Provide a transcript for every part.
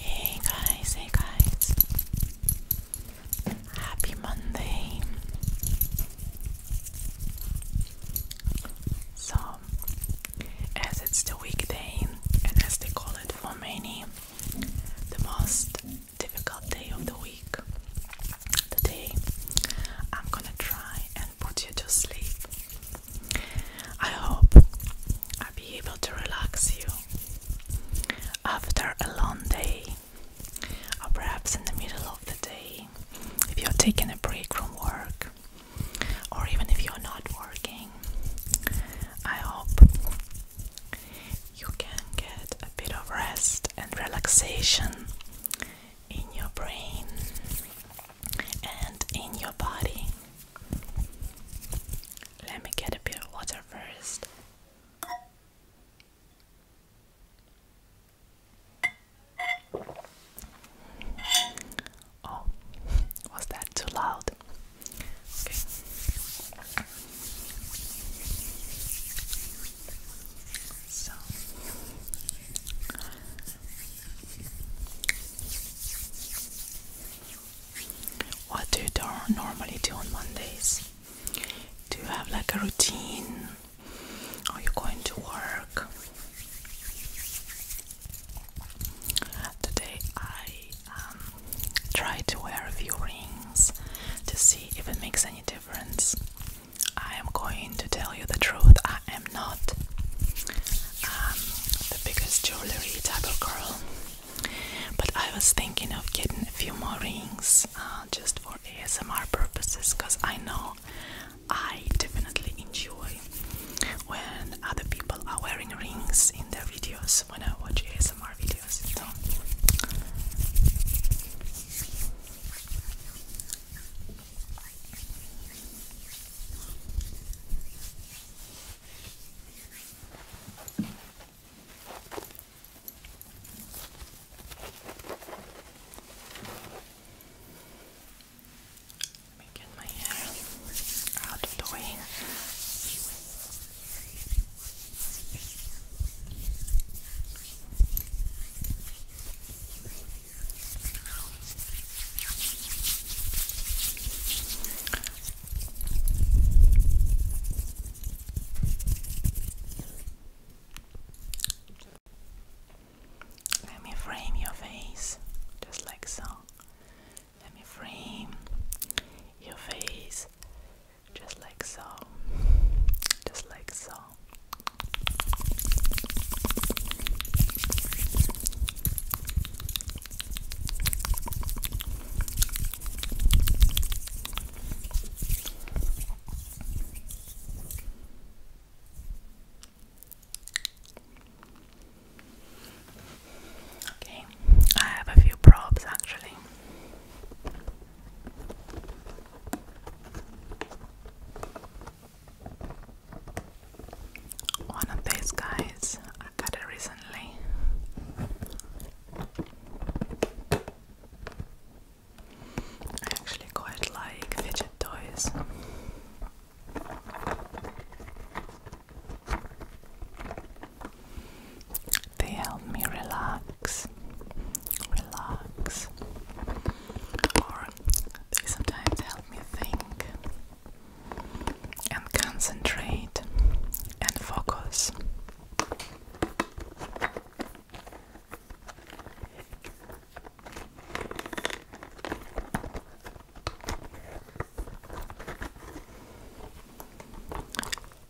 Hey guys, hey guys. Happy Monday. So, as it's the weekday, and as they call it for many, the most difficult day of the week, today I'm gonna try and put you to sleep I hope I'll be able to relax you after a long day, or perhaps in the middle of the day, if you're taking a break from work, or even if you're not working. I hope you can get a bit of rest and relaxation in your brain and in your body. Let me get a bit of water first. Oh, was that too loud? Okay. What do you normally do on Mondays? Do you have like a routine? Are you going to work? Today I um, to wear a rings to see if it makes any difference. I am going to tell you the truth. I am not um, the biggest jewelry type of girl, but I was thinking of getting a few more rings uh, just for ASMR purposes because I know I definitely enjoy when other people are wearing rings in their videos when I watch ASMR videos. Let me get my hair out of the way. Let me frame your face just like so. Let me frame your face just like so. Just like so. Okay, I have a few props actually. One of these guys, I got it recently. I actually quite like fidget toys. They help me relax, relax, or they sometimes help me think and concentrate and focus.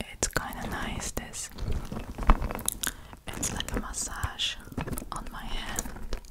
It's kind of nice, this. It's like a massage on my hand.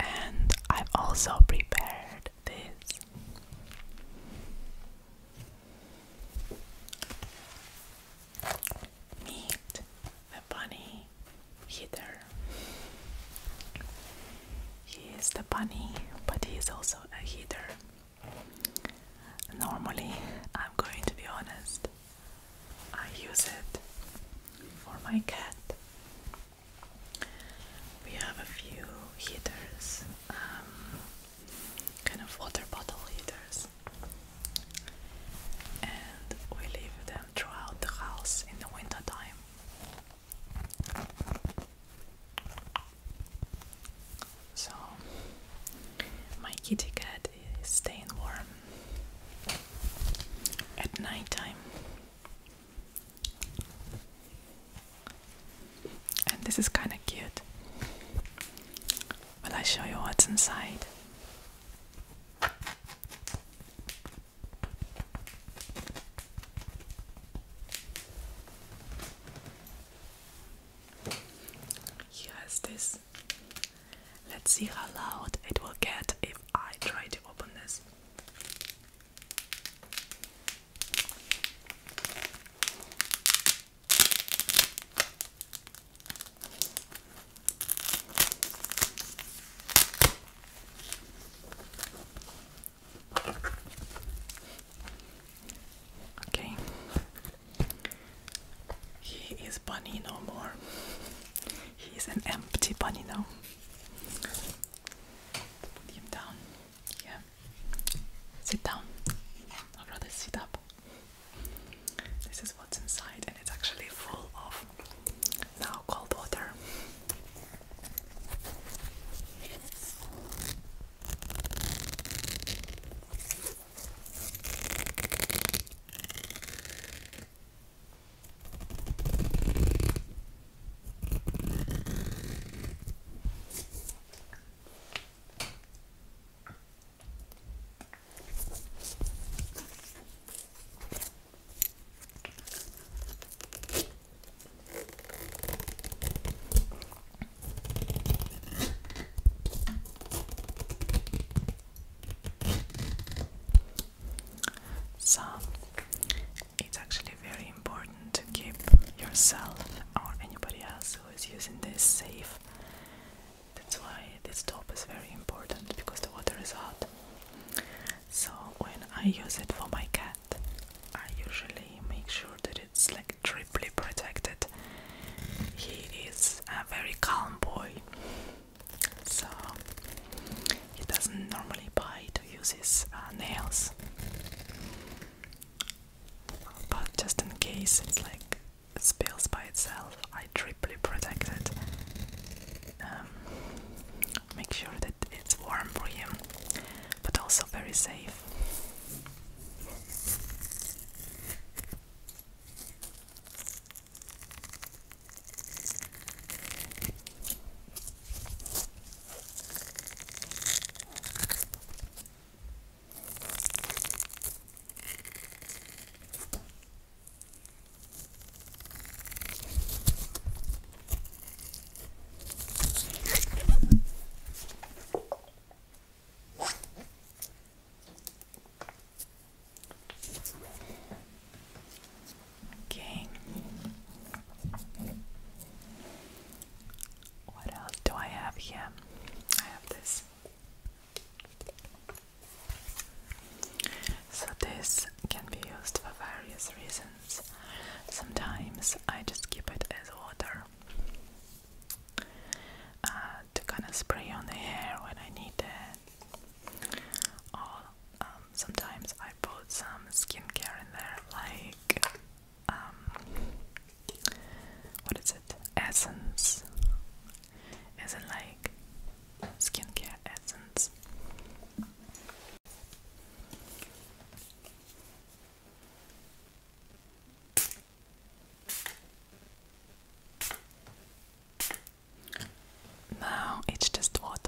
And I've also prepared this. Meet the bunny either. He is the bunny, but he is also a heater. Normally, I'm going to be honest, I use it for my cat. We have a few heaters, um, kind of water bottle heaters, and we leave them throughout the house in the wintertime, So my kitty cat is staying warm at night And this is kind of cute. Will I show you what's inside? Here is this. Let's see how loud it will get if I try to open this. Okay. He is bunny no more. He is an empty bunny now. Put down. Yeah. Sit down. I'd rather sit up. This is what's inside, and it's actually full of now cold water. So it's actually very important to keep yourself or anybody else who is using this safe that's why this top is very important because the water is hot. So when I use it for my cat, I usually make sure that it's like triple protected. He is a very calm boy, so he doesn't normally bite or use his uh, nails. But just in case, it's like spills by itself, I triply protect it. Um, make sure that it's warm but also very safe. Okay. What else do I have here? I have this so, this can be used for various reasons. Sometimes I just keep it as water uh, to kind of spray on the hair when I need it. Or um, sometimes I put some skincare in there, like um, what is it? Essence as in like skincare essence. Now it's just water.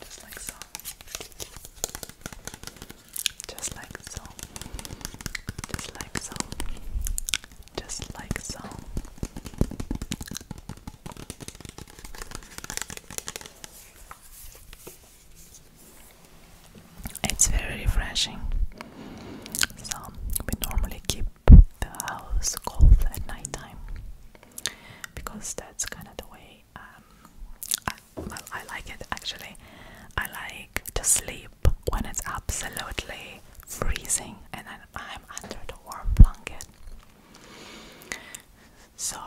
Just like so. Just like so. Just like so. Just like so. It's very refreshing. So we normally keep the house cold at nighttime because that's kind of the way um, I, well, I like it actually. I like to sleep when it's absolutely freezing and then I'm under the warm blanket. So,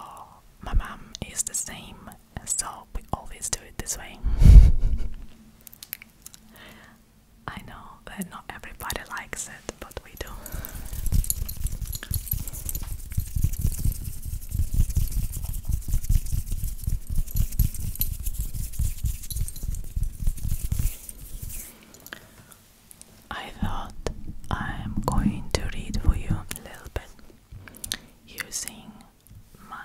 my mom is the same, so we always do it this way. I know that not everybody likes it, but we do. I thought I'm going to read for you a little bit using my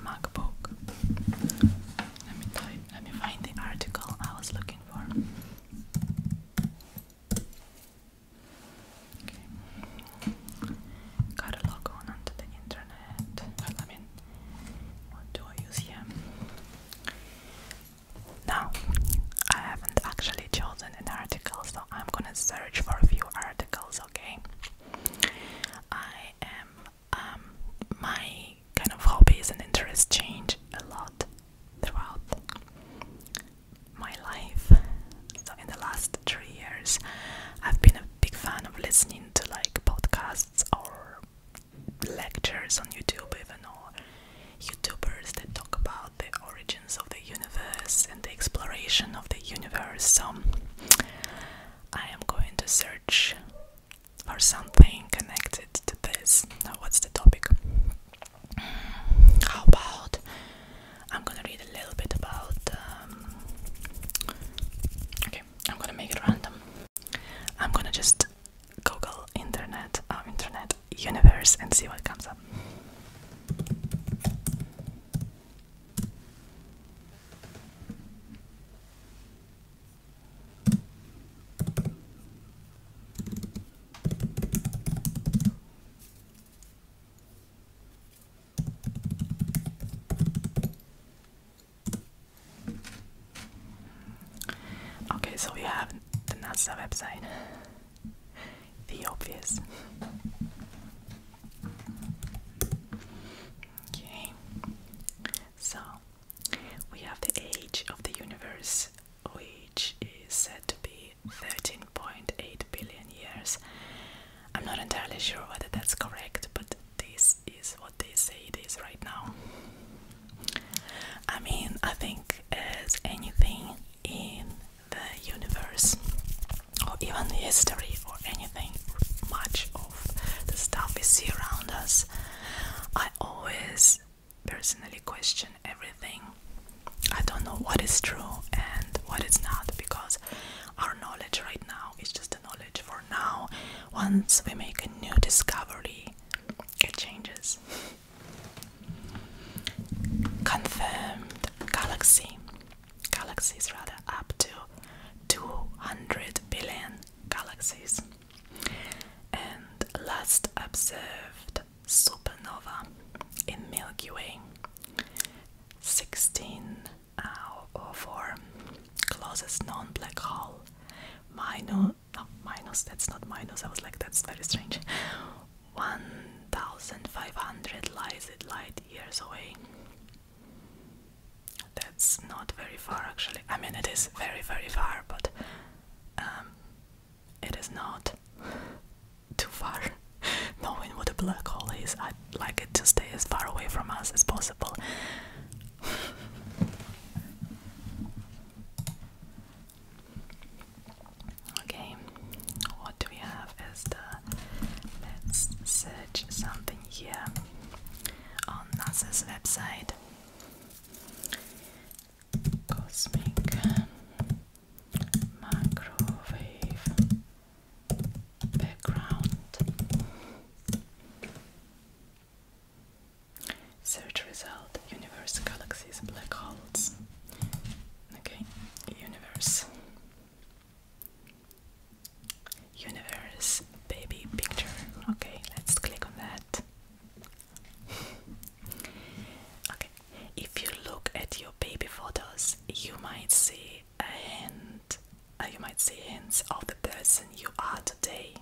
MacBook. let me find the article I was looking for. Gotta log on onto the internet. I mean, what do I use here? Now, I haven't actually chosen an article, so I'm gonna search for a few articles, okay? I am, um, my kind of hobbies and interests change a lot throughout my life. So in the last three years, I've been a big fan of listening to like podcasts or lectures on YouTube, even or YouTubers that talk about the origins of the universe and the exploration of the universe. So I am going to search for something connected to this. Now, what's the topic? How about I'm gonna read a little bit about. Um, okay, I'm gonna make it random. I'm gonna just Google internet, uh, internet universe, and see what comes up. Okay, so we have the NASA website. The obvious. Okay, so we have the age of the universe which is said to be 13.8 billion years. I'm not entirely sure whether that's correct, but this is what they say it is right now. I mean, I think as anything in the universe, or even history, or anything, much of the stuff we see around us, I always personally question everything. I don't know what is true and what is not because our knowledge right now is just a knowledge for now. Once we make a new discovery, it changes. Confirmed galaxy. Galaxies rather up to 200 billion galaxies and last observed supernova in Milky Way 16 or 4 closest non black hole minus no minus that's not minus I was like that's very strange 1500 light years away that's not very far actually I mean it is very very far but um, it is not too far. Knowing what a black hole is, I'd like it to stay as far away from us as possible. okay, what do we have is the. Let's search something here on NASA's website. Cosmic microwave background. Search result universe galaxies black holes. Okay, universe. Universe baby picture. Okay, let's click on that okay, if you look at your baby photos, you might see a hint, uh, you might see hints of the person you are today.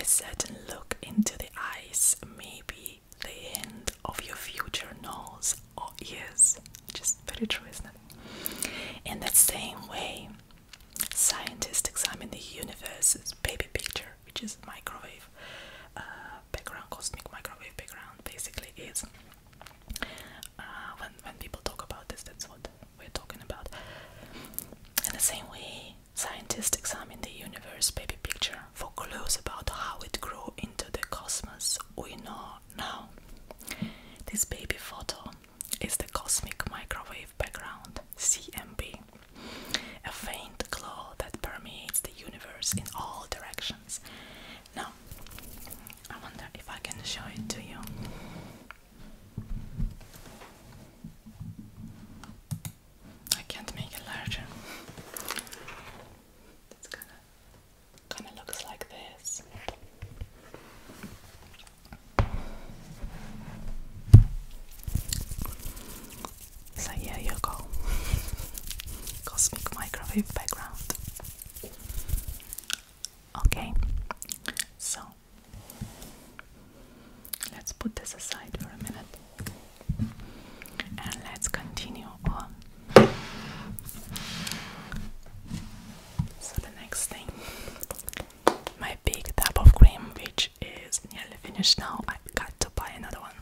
A certain look into the eyes maybe the end of your future nose or ears. Just very true, isn't it? In that same way, Scientists examine the universe's baby picture, which is microwave uh, background, cosmic microwave background. Basically, is uh, when when people talk about this, that's what we're talking about. In the same way, scientists examine the universe baby picture for clues about how it grew into the cosmos we know now. This baby photo is the cosmic microwave background CMB, a faint glow that permeates the universe in all directions. Now, I wonder if I can show it to you. I can't make it larger. It's kind of kind of looks like this. So yeah, your goal. Cosmic microwave background. Okay, so let's put this aside for a minute and let's continue on. So, the next thing my big tub of cream, which is nearly finished now. I've got to buy another one.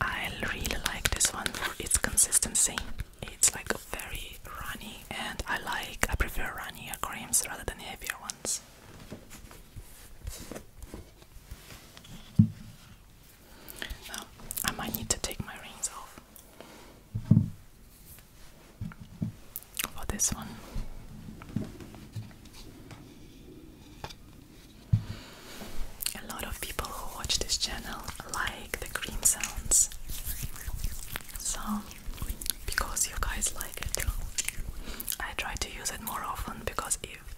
I really like this one for its consistency. It's like very runny, and I like, I prefer runnier creams rather than heavier ones. Now, I might need to take my rings off for this one. A lot of people who watch this channel like the green sounds. So, because you guys like it, I try to use it more often because if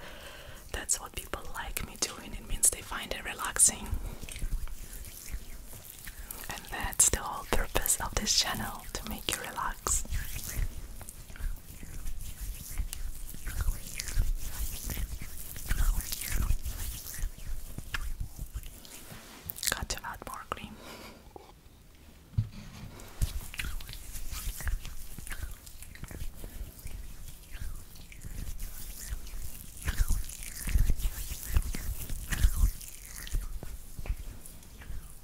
that's what people like me doing, it means they find it relaxing. And that's the whole purpose of this channel to make you relax. Got to add more cream.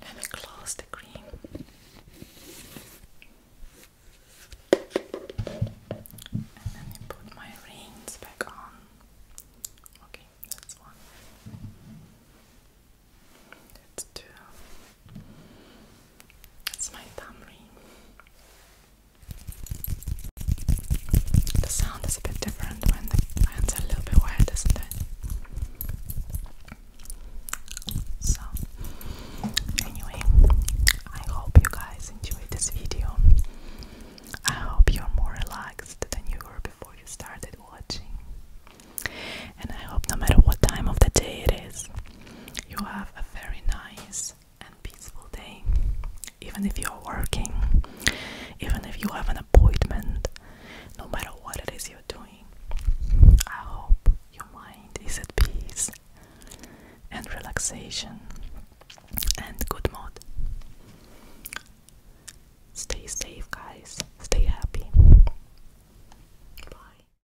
And I close the cream. And then you put my rings back on. Okay, that's one. That's two. That's my thumb The sound is a bit different when the hands a little bit wet, isn't it? So, anyway, I hope you guys enjoyed this video. I hope you're more relaxed than you were before you started watching. And I hope no matter what time of the day it is, you have a very nice and peaceful day, even if you are working, even if you have an appointment, no matter what it is you're doing. I hope your mind is at peace and relaxation and good mood. Stay safe, guys. Stay happy. Bye.